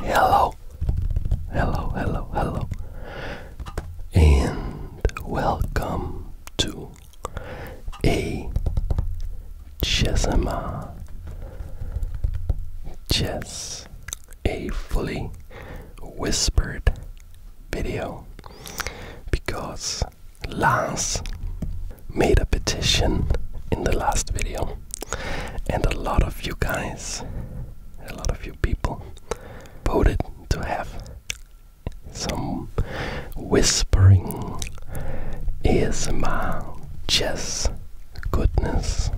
Hello, hello, hello, hello, and welcome to a Chessama Chess, a fully whispered video because Lance made a petition in the last video and a lot of you guys, a lot of you people, voted to have some whispering ASMR chess goodness.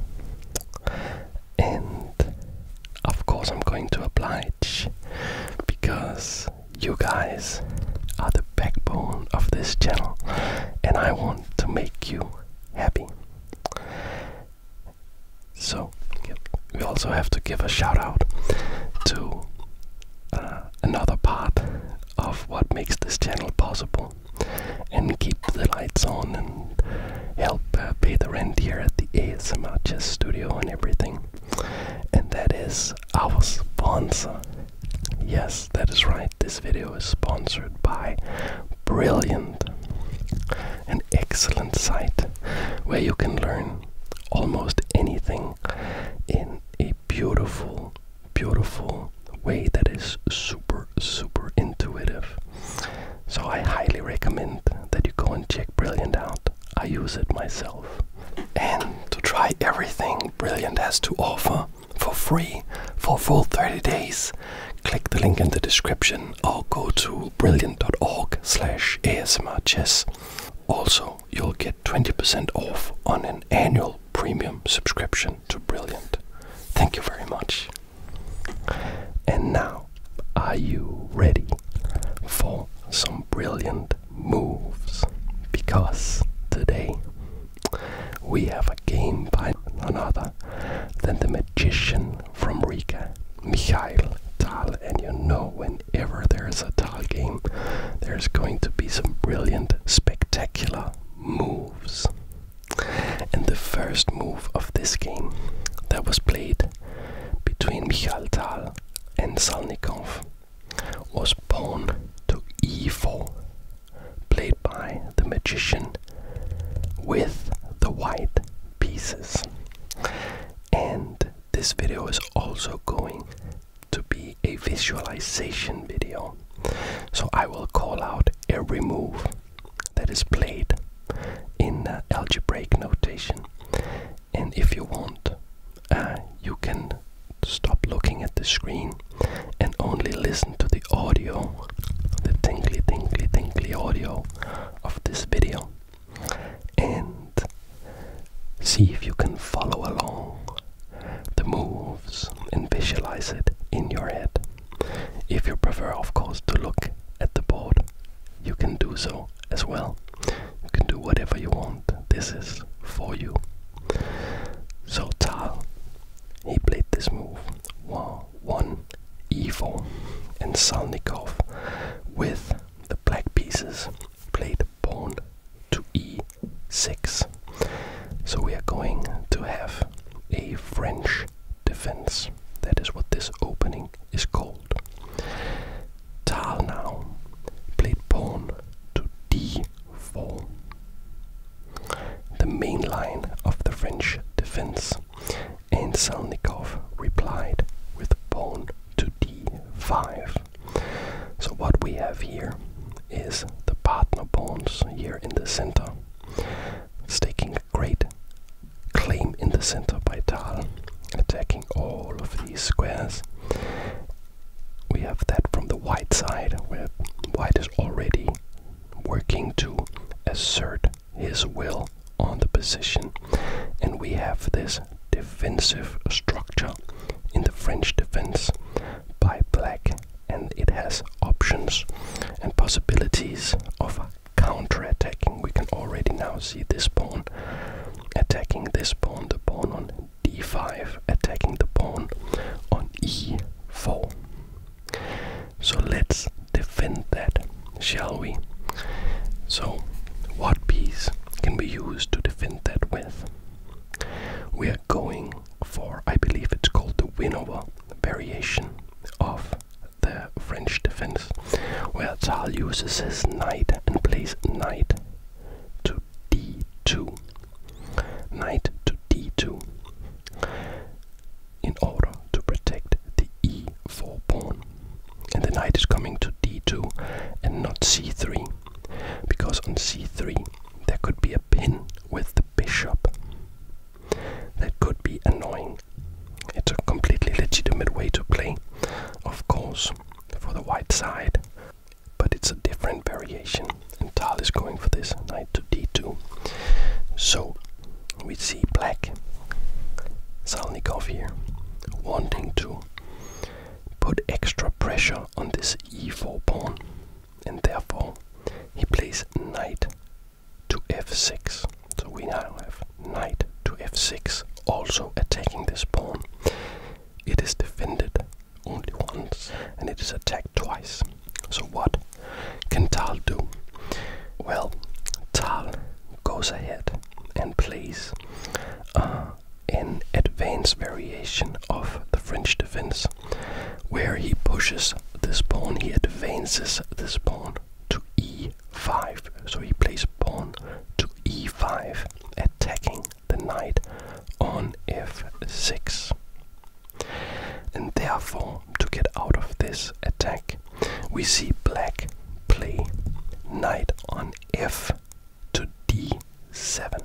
And of course, I'm going to oblige because you guys are the backbone of this channel, and I want to make you happy. So we also have to give a shout out to uh, another part of what makes this channel possible and keep the lights on and help uh, pay the rent here at the ASMR Chess Studio and everything. And that is our sponsor. Yes, that is right. This video is sponsored by Brilliant an excellent site where you can learn almost anything in a beautiful, beautiful way that is super, super intuitive. So I highly recommend that you go and check Brilliant out. I use it myself. And to try everything Brilliant has to offer, for free for full 30 days. Click the link in the description or go to brilliant.org slash ASMR Also, you'll get 20% off on an annual premium subscription to Brilliant. Thank you very much. And now, are you ready for some brilliant moves? Because today we have a game by another other than the magician from Riga, Mikhail Tal. And you know, whenever there's a Tal game, there's going to be some brilliant, spectacular moves. And the first move of this game that was played between Mikhail Tal and Salnikov was pawn to e4 played by the magician with the white pieces. And this video is also going to be a visualization video. So I will call out every move that is played in algebraic notation. And if you want, uh, you can stop looking at the screen and only listen to the audio the tingly, tingly, tingly audio of this video and see if you can follow along the moves and visualize it in your head. If you prefer, of course, to look at the board, you can do so as well. You can do whatever you want. This is for you. So Tal, he played this move. Wow one Evil and Salnikov with the black pieces played pawn to e6. So we are going to have a French defense. That is what this opening is called. Tal now played pawn to d4 the main line of the French defense, and Salnikov replied with pawn to d5. So what we have here is the partner pawns here in the center, staking a great claim in the center by Tal, attacking all of these squares. We have that from the white side, where white is already working to assert his will on the position. And we have this defensive structure in the French defense by black, and it has options and possibilities of counterattacking. We can already now see this pawn attacking this pawn, the pawn on d5, attacking the pawn on e4. So let's defend that, shall we? So, what piece can we use to defend that with? We are going for, I believe it's called the Winnower variation of the French defense, where Tal uses his knight and plays knight to d2. Knight to d2 in order to protect the e4 pawn. And the knight is coming to d2 and not c3, because on c3 there could be a pin with the bishop. That could be annoying. It's a completely legitimate way to play, of course, for the white side, but it's a different variation. And Tal is going for this knight to d2. So we see Black Salnikov here wanting to put extra pressure on this e4 pawn, and therefore he plays knight to f6. So we now have knight to f6, also attacking this pawn. It is defended only once, and it is attacked twice. So what can Tal do? Well, Tal goes ahead and plays uh, an advanced variation of the French defense, where he pushes this pawn, he advances this pawn to e5. So he plays pawn to e5, attacking the knight on f6. And therefore, to get out of this attack, we see black play knight on f to d7.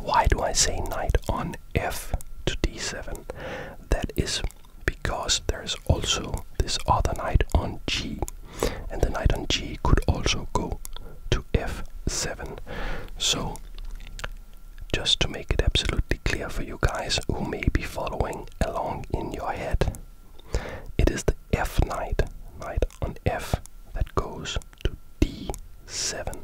Why do I say knight on f to d7? That is because there is also this other knight on g, and the knight on g could also go to f7. So just to make it absolutely clear for you guys who may be following along in your head. It is the F knight, knight on F, that goes to d7.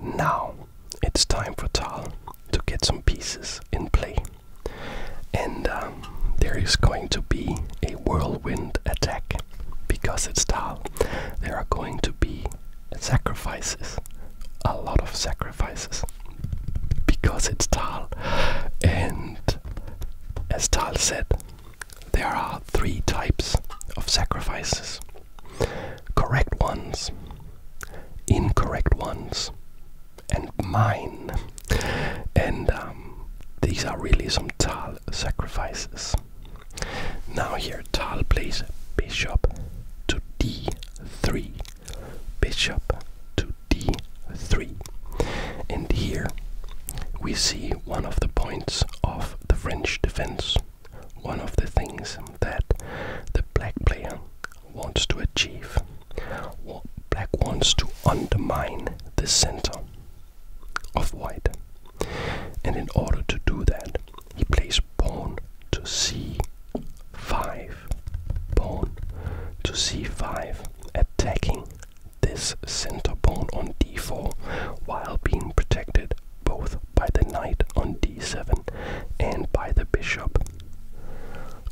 Now it's time for Tal to get some pieces in play. And um, there is going to be a whirlwind attack because it's Tal. There are going to be sacrifices a lot of sacrifices, because it's Tal. And as Tal said, there are three types of sacrifices correct ones, incorrect ones, and mine. And um, these are really some Tal sacrifices. Now here, Tal plays bishop to d3, bishop to d3. And here we see one of the points of the French defense, one of the things that the black player wants to achieve. Black wants to undermine the center of white. And in order to do that, he plays pawn to c5. Pawn to c5, attacking this center pawn on d4 while being protected both by the knight on d7 and by the bishop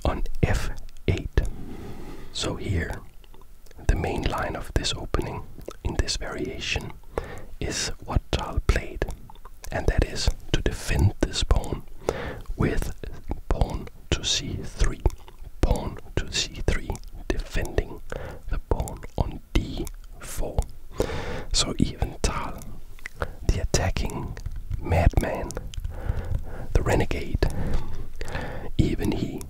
on f8. So here, the main line of this opening in this variation is what Tal played and that is to defend this pawn with pawn to c3, pawn to c3, defending the pawn on d4. So even Tal, the attacking madman, the renegade, even he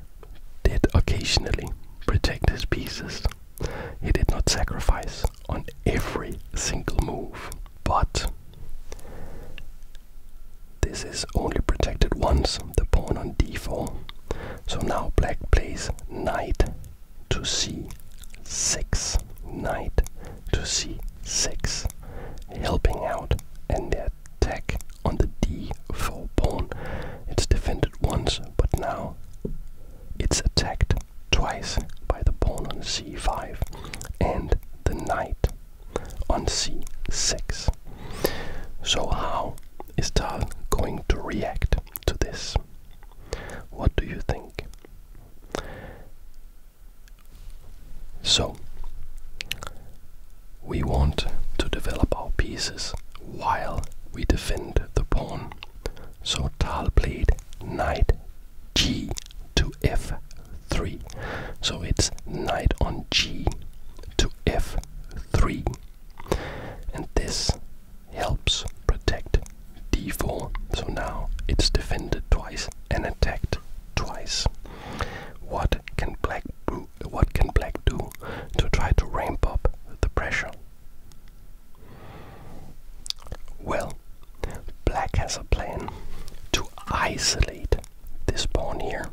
did occasionally protect his pieces he did not sacrifice on every single move, but this is only protected once, the pawn on d4. So now black plays knight to c6, knight to c6, helping out and the attack on the d4 pawn. It's defended once, but now it's attacked twice by the pawn on c5 and the knight on c6. So, how is Tal going to react to this? What do you think? So, we want to develop our pieces while we defend the pawn. So Tal played knight g to f3. So it's knight on g to f3. And this helps protect d4. So now it's defended twice and attacked twice. What can black what can black do to try to ramp up the pressure well, black has a plan to isolate this pawn here,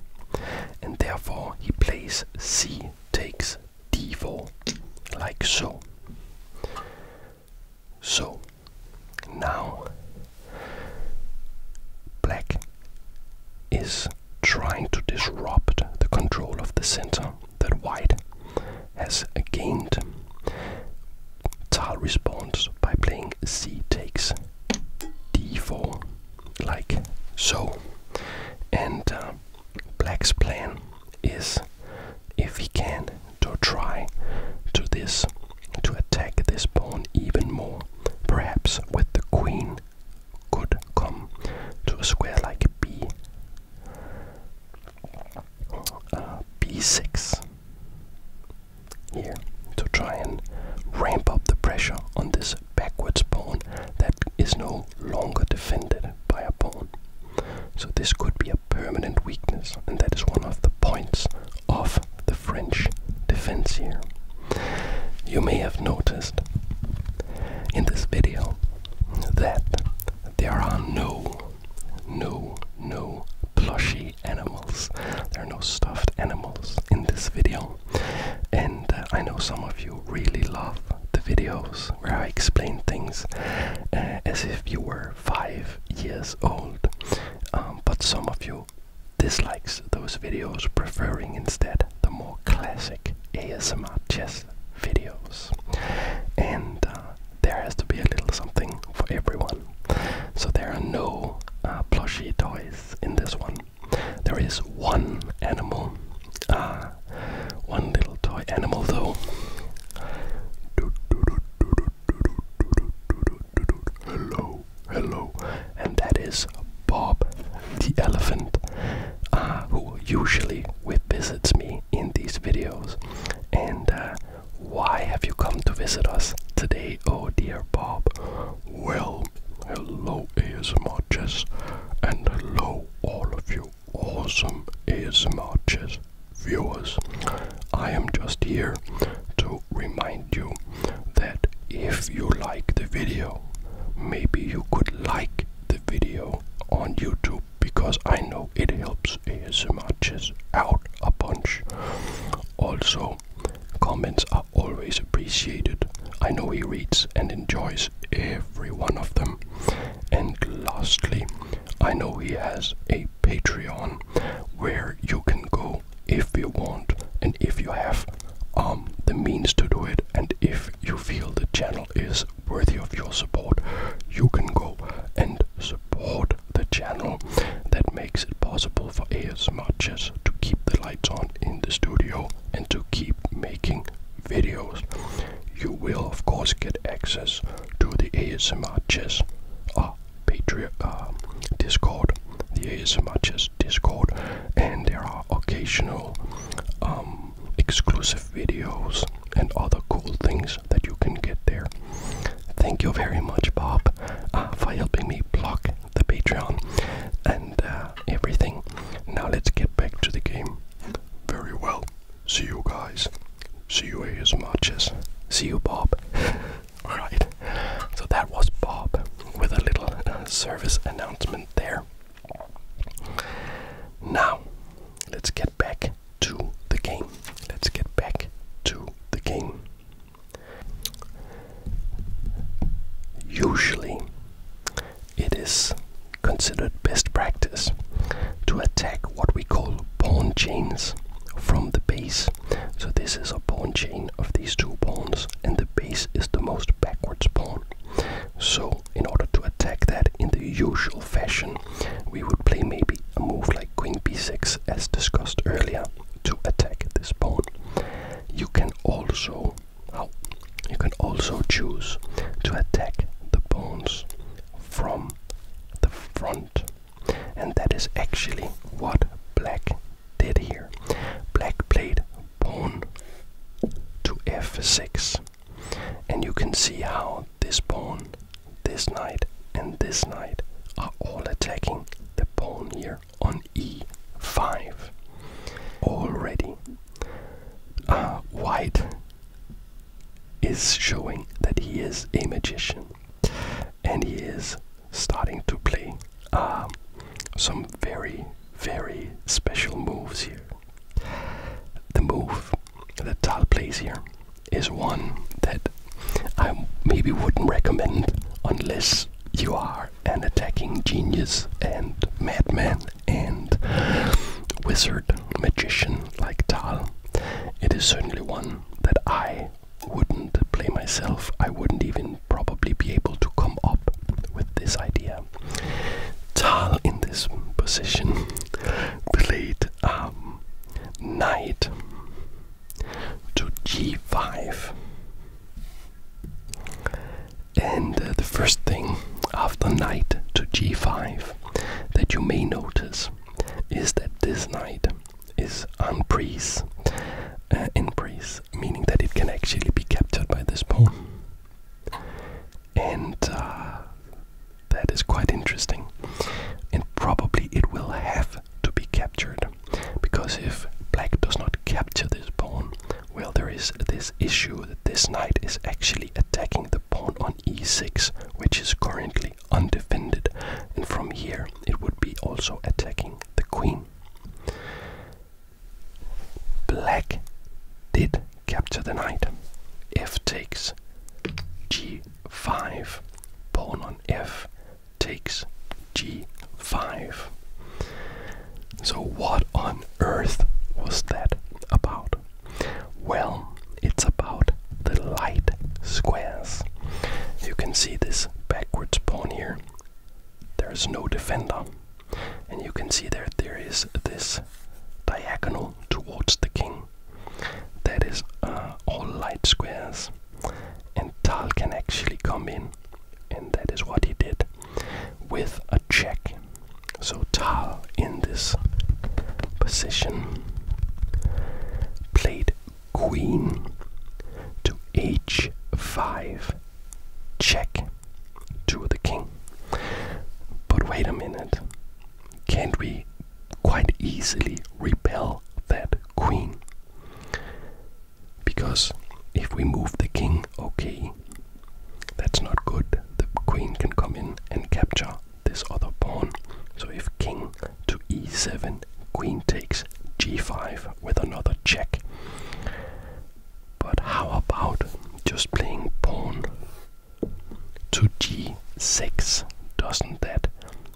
and therefore he plays c takes d4, like so. So now black is trying to disrupt the control of the center that White has gained tile responds by playing c takes d4 like so and uh, black's plan is if he can to try to this to attack this pawn even more perhaps with the queen could come to a square like b B6 here to try and ramp up the pressure on this backwards pawn that is no longer defended by a pawn. So this could be a permanent weakness, and that is one of the points of the French defense here. You may have noticed in this video that there are no no, no plushy animals. There are no stuffed animals in this video. And uh, I know some of you really love the videos where I explain things uh, as if you were five years old. Um, but some of you dislikes those videos, preferring instead the more classic ASMR chess videos. And uh, there has to be a little something for everyone. So there are no uh, plushie toys in this one. There is one animal, uh, one little toy animal though. Hello, hello, and that is Bob the elephant, uh, who usually visits me in these videos, and uh, why have you come to visit us today, oh dear Bob? Well, hello, ASMR Chess, and hello, all of you awesome ASMR Chess viewers. I am just here to remind you that if you like the video, maybe you could like the video on YouTube because I know it helps ASMRs out a bunch. Also, comments are always appreciated. I know he reads and enjoys every one of them. And lastly, I know he has a Patreon where you can go if you want and if you have um, the means to do it and if you feel the channel is worthy of your support, you can go and support the channel that makes it possible for ASMR Chess to keep the lights on in the studio and to keep making videos. You will, of course, get access to the ASMR Chess uh, Patreon um, Discord, the ASMR Chess Discord, and there are occasional um, exclusive videos and all the cool things that you can get there. Thank you very much, Bob, uh, for helping me block the Patreon and uh, everything. Now let's get back to the game. Very well. See you guys. See you as much as. See you, Bob. Alright, so that was Bob with a little uh, service announcement there. Now, let's get back to the game. Let's get back to the game. Usually, it is considered best practice to attack what we call pawn chains from the base. So, this is a pawn chain of these two pawns, and the base is the most backwards pawn. So, in order to attack that in the usual fashion, we would play maybe a move like queen b6 as discussed earlier to attack this pawn. You can also oh, you can also choose to attack the pawns from the front. And that is actually what black did here. Black played pawn to f6 and you can see how this pawn, this knight, and this knight are all attacking the pawn here on e5 already. Uh, white is showing that he is a magician and he is starting to play um, some very, very special moves here. The move the tile place here is one that I maybe wouldn't recommend unless you are an attacking genius and madman and wizard magician like Tal. It is certainly one that I wouldn't play myself. I wouldn't even probably be able to come up with this idea. Tal in this position played um, knight to g5. And uh, the first thing after knight to g5 that you may notice is that this knight is unprise, uh, in prise, meaning that it can actually be captured by this pawn. And uh, that is quite interesting. And probably it will have to be captured. Because if black does not capture this pawn, well, there is this issue that this knight is actually attacking the pawn on e6, which is currently undefended. And from here, it would be also attacking the queen. Black did capture the knight. f takes g 5. Pawn on f takes g5. So, what on earth was that about? Well, it's about the light squares. You can see this backwards pawn here. There's no defender. And you can see there there is this diagonal towards the king that is uh, all light squares and Tal can actually come in and that is what he did with a check so Tal in this position played queen to h5 check to the king but wait a minute can't we quite easily repel that queen. Because if we move the king, okay, that's not good. The queen can come in and capture this other pawn. So if king to e7, queen takes g5 with another check. But how about just playing pawn to g6. Doesn't that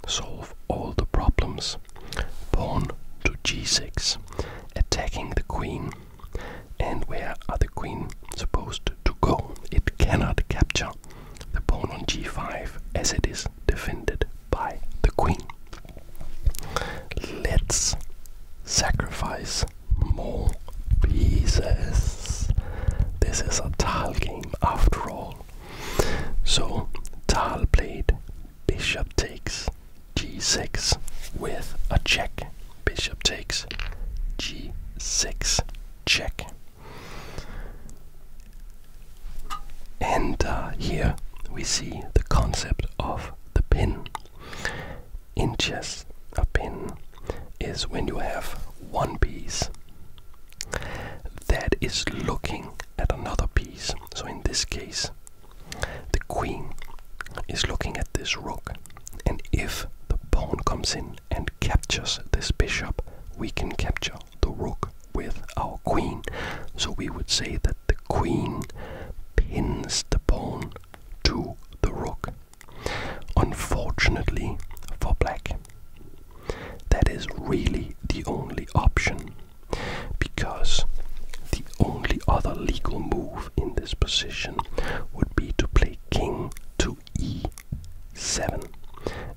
solve all the problems? Pawn to g6, attacking the queen. And where are the queen supposed to go? It cannot capture the pawn on g5 as it is defended by the queen. Let's sacrifice more pieces. This is a tile game after all. So Tal played bishop takes g6 with a check. Bishop takes g6 check. And uh, here we see the concept of the pin. In chess, a pin is when you have one piece that is looking at another piece. So in this case, the queen is looking at this rook, and if the pawn comes in and captures this bishop, we can capture the rook with our queen. So we would say that the queen pins the pawn to the rook. Unfortunately for black, that is really the only option because the only other legal move in this position would be to play king to e7.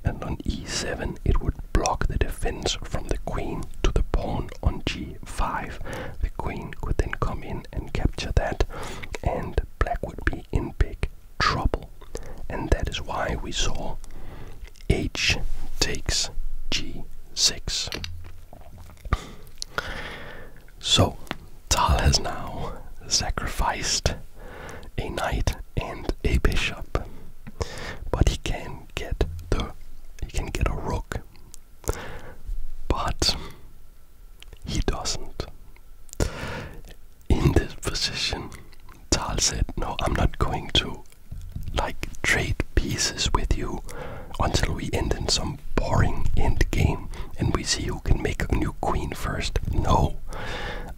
And on e7, it would block the defense from the queen to the pawn on g5. The queen could then come in and capture that, and black would be in big trouble. And that is why we saw h takes g6. So, Tal has now sacrificed a knight and a bishop, but he can get the he can get a rook, but he doesn't in this position, Tal said, No, I'm not going to like trade pieces with you until we end in some boring end game and we see who can make a new queen first. No,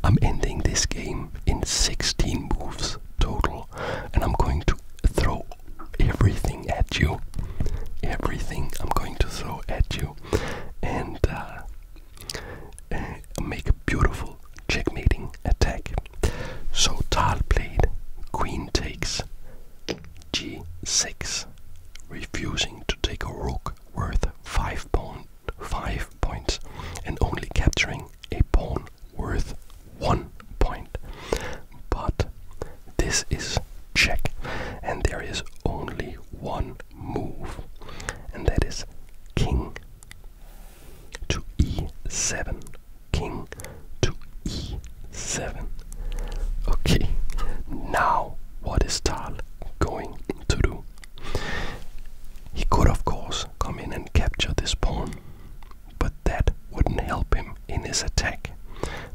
I'm ending this game in 16 moves total and I'm going to throw everything at you. Everything I'm going to throw at you. And uh, uh, make a beautiful checkmating attack. So Tal played queen takes g6, refusing to take a rook worth 5 pawn, 5 points and only capturing a pawn worth 1 point. But this is check and there is only one move, and that is king to e7. King to e7. Okay, now what is Tal going to do? He could, of course, come in and capture this pawn, but that wouldn't help him in his attack.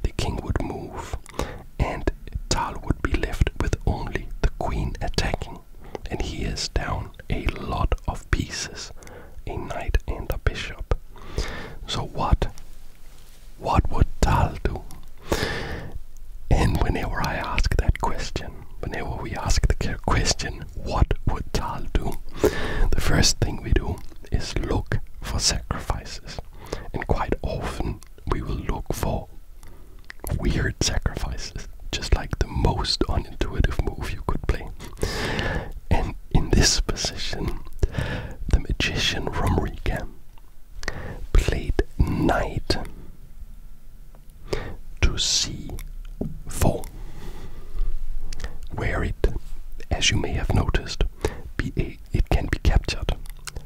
The king would move, and Tal would be left with only the queen attacking and he is down a lot of pieces, a knight and a bishop. So what? What would Tal do? And whenever I ask that question, whenever we ask the question, what would Tal do? The first thing we do is look for sacrifices. And quite often we will look for weird sacrifices, just like the most unintuitive move you could play. And in this position, the magician from Rika played knight to c4, where it, as you may have noticed, be a, it can be captured.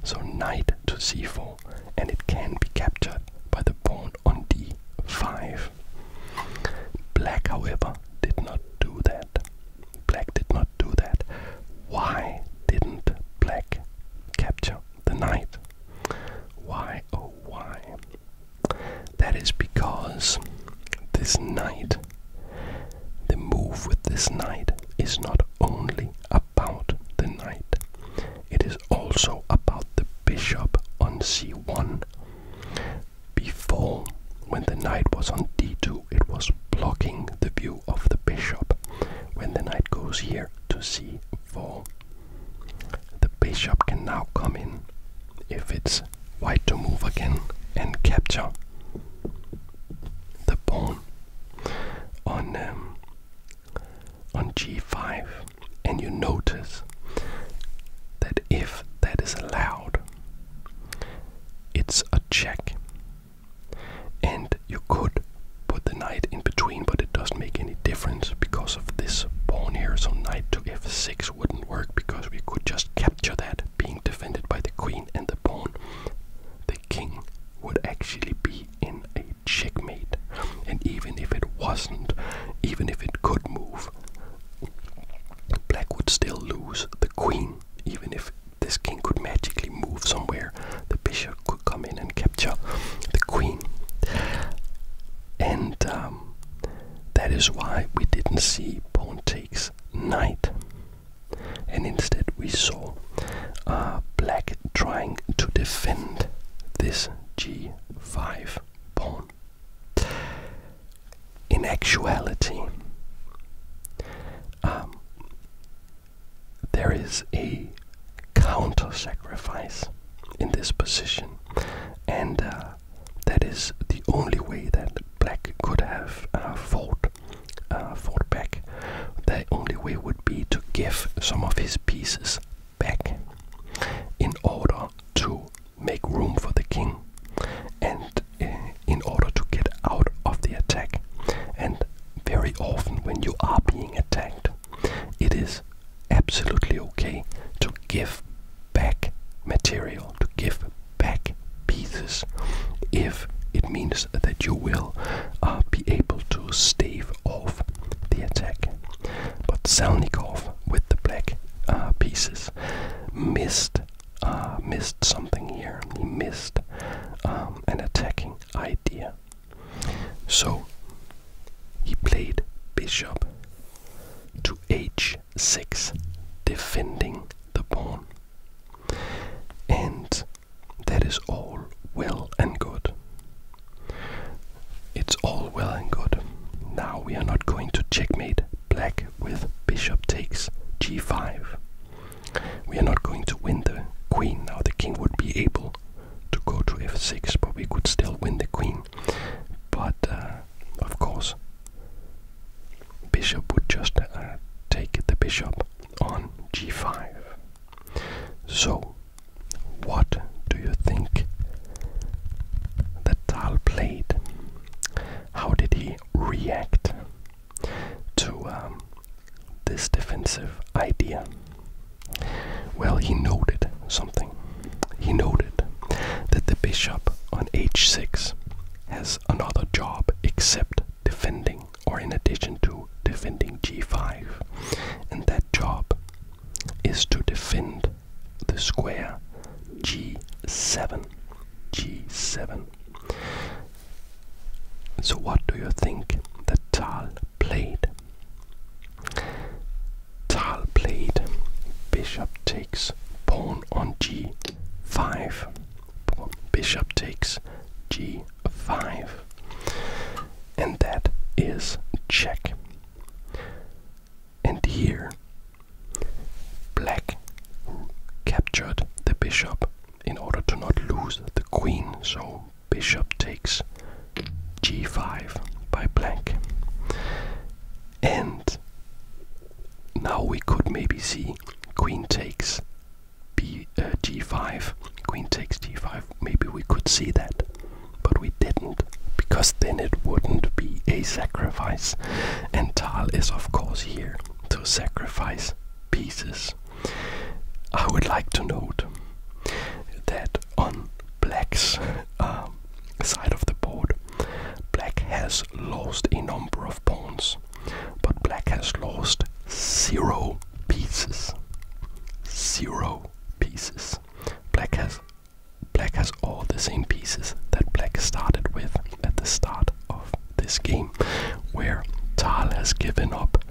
So knight to c4 and it can be captured by the pawn on d5. Black, however, did not do that. Black did not do that. Why didn't black capture the knight? Why, oh why? That is because this knight, the move with this knight, is not only a about the knight. It is also about the bishop on c1. Before, when the knight was on d2, it was blocking the view of the bishop. When the knight goes here to c4, the bishop can now come in if it's white to move again and capture the pawn on um, on g5 and you notice that if that is allowed, it's a check. And you could put the knight in between, but it doesn't make any difference because of this pawn here. So knight to f6 wouldn't work because we could just capture that being defended by the queen and the pawn. The king would actually be in a a checkmate. And even if it wasn't, even if it could move, black would still lose the queen. Even if this king could magically move somewhere, the bishop could come in and capture the queen. And um, that is why we didn't see pawn takes knight. And instead, we saw uh, black trying to defend this g5 pawn. In actuality, um, there is a counter sacrifice in this position, and uh, that is the only way that black could have uh, fought, uh, fought back. The only way would be to give some of his pieces back in order to make room for the king and eh, in order to get out of the attack. And very often, when you are being attacked, it is absolutely okay to give back material, to give back pieces if it means that you will uh, be able to stave off the attack. But Selnikov with the black uh, pieces missed uh, missed something here. He missed um, an attacking idea. So he played bishop to h6, defending the pawn. And that is all well and good. It's all well and good. Now we are not going to checkmate black with bishop takes g5. We are not going to win the queen. Now the king would be able to go to f6, but we could still win the queen. But uh, of course, bishop would just uh, take the bishop on g5. So what do you think that Tal played? How did he react to um, this defensive idea? Well, he noted something. He noted that the bishop on h6 has another job except defending, or in addition to defending g5, and that job is to defend the square g7. g7. So, what do you think that Tal played? Tal played bishop takes pawn on g5. Bishop takes g5. And that is check. And here, black captured the bishop in order to not lose the queen, so bishop takes g5 by black. And now we could maybe see queen takes b uh, 5 queen takes g5. Maybe we could see that. But we didn't, because then it wouldn't be a sacrifice. And Tal is, of course, here to sacrifice pieces. I would like to note that on black's um, side of the board, black has lost a number of pawns, but black has lost zero pieces. Zero pieces. Black has black has all the same pieces that black started with at the start of this game, where Tal has given up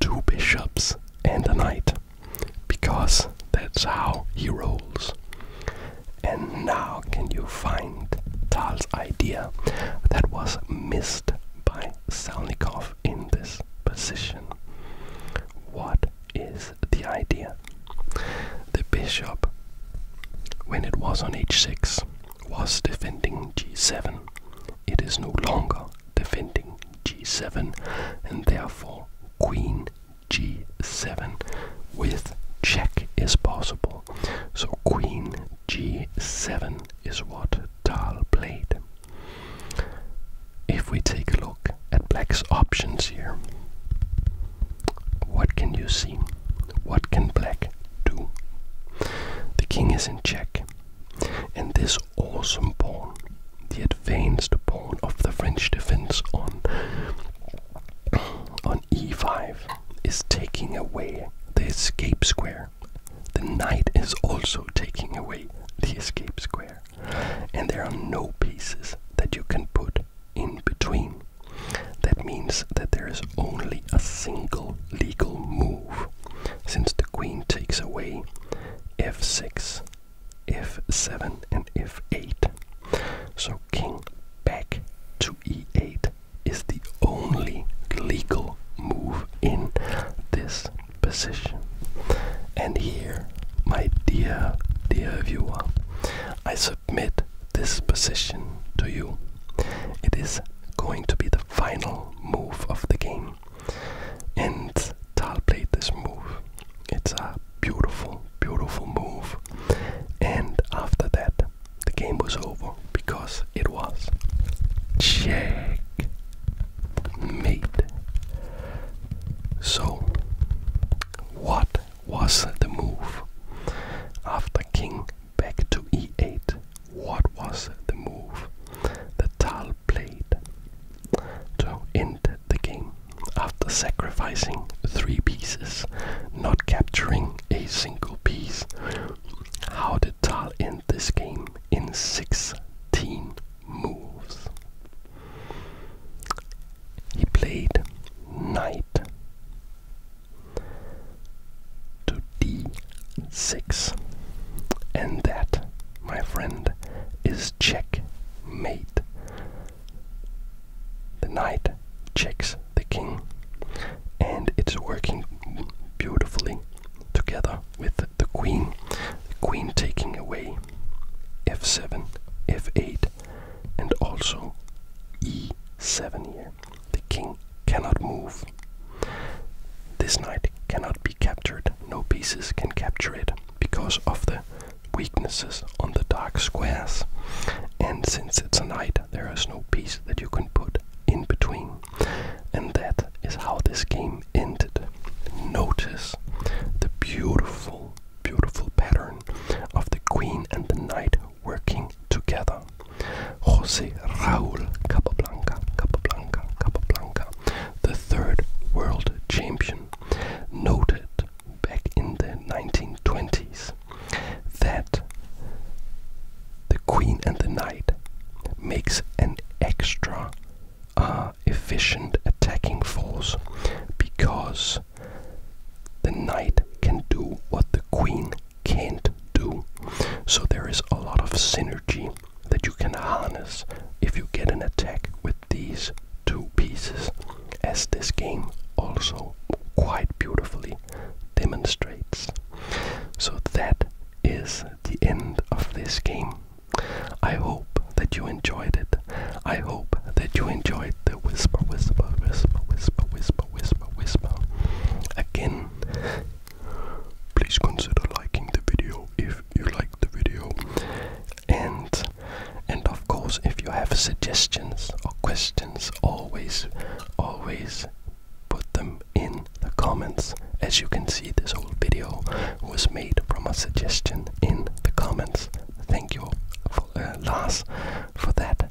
two bishops and a knight because that's how he rolls. And now can you find Tal's idea that was missed by Salnikov in this position. What is the idea? The bishop, when it was on h6, was defending g7. It is no longer defending g7, and therefore queen g7 with check is possible. So queen g7 is what Dahl played. If we take a look at black's options here, what can you see? What can black do? The king is in check, and this awesome pawn, the advanced pawn of the French defense on on e5, is taking away the escape square. The knight is also taking away the escape square and there are no pieces that you can put in between. That means that there is only a single legal move, since the queen takes away f6, f7, and f8. So king back to e8 is the only legal move in this position. And here, my dear, dear viewer, I submit this position to you. It is going to be the final move of the game. And Tal played this move. It's a beautiful, beautiful move. And after that, the game was over because it was check made. So, what was the move? After king back to e8, what was the move the Tal played to end the game? After sacrificing three pieces, not capturing a single piece, how did Tal end this game in 16 moves. He played knight to d6, and that, my friend, is checkmate. The knight checks the king, and it's working beautifully together with the queen. The queen taking away f7, f8, and also e7 here. The king cannot move. This knight cannot be captured. No pieces can capture it because of the weaknesses on the dark squares. And since it's a knight, there is no piece that you can put in between. And that is how this game ended. Notice the beautiful, beautiful pattern of the queen and the knight working together. Jose Raul Capablanca, Capablanca, Capablanca, the third world champion, noted back in the 1920s that the queen and the knight makes an extra are efficient attacking force because the knight can do what the queen can't do. So there is a lot of synergy that you can harness if you get an attack with these two pieces, as this game also quite beautifully demonstrates. So that is the end of this game. I hope that you enjoyed it. I hope that you enjoyed the whisper, whisper, whisper, whisper, whisper, whisper, whisper. Again, please consider liking the video if you like the video. And and of course if you have suggestions or questions always always put them in the comments as you can see, this whole video was made from a suggestion in the comments. Thank you, uh, Lars, for that.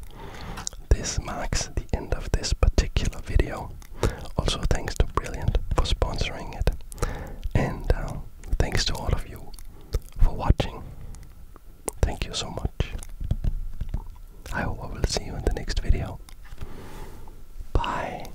This marks the end of this particular video. Also, thanks to Brilliant for sponsoring it. And uh, thanks to all of you for watching. Thank you so much. I hope I will see you in the next video. Bye.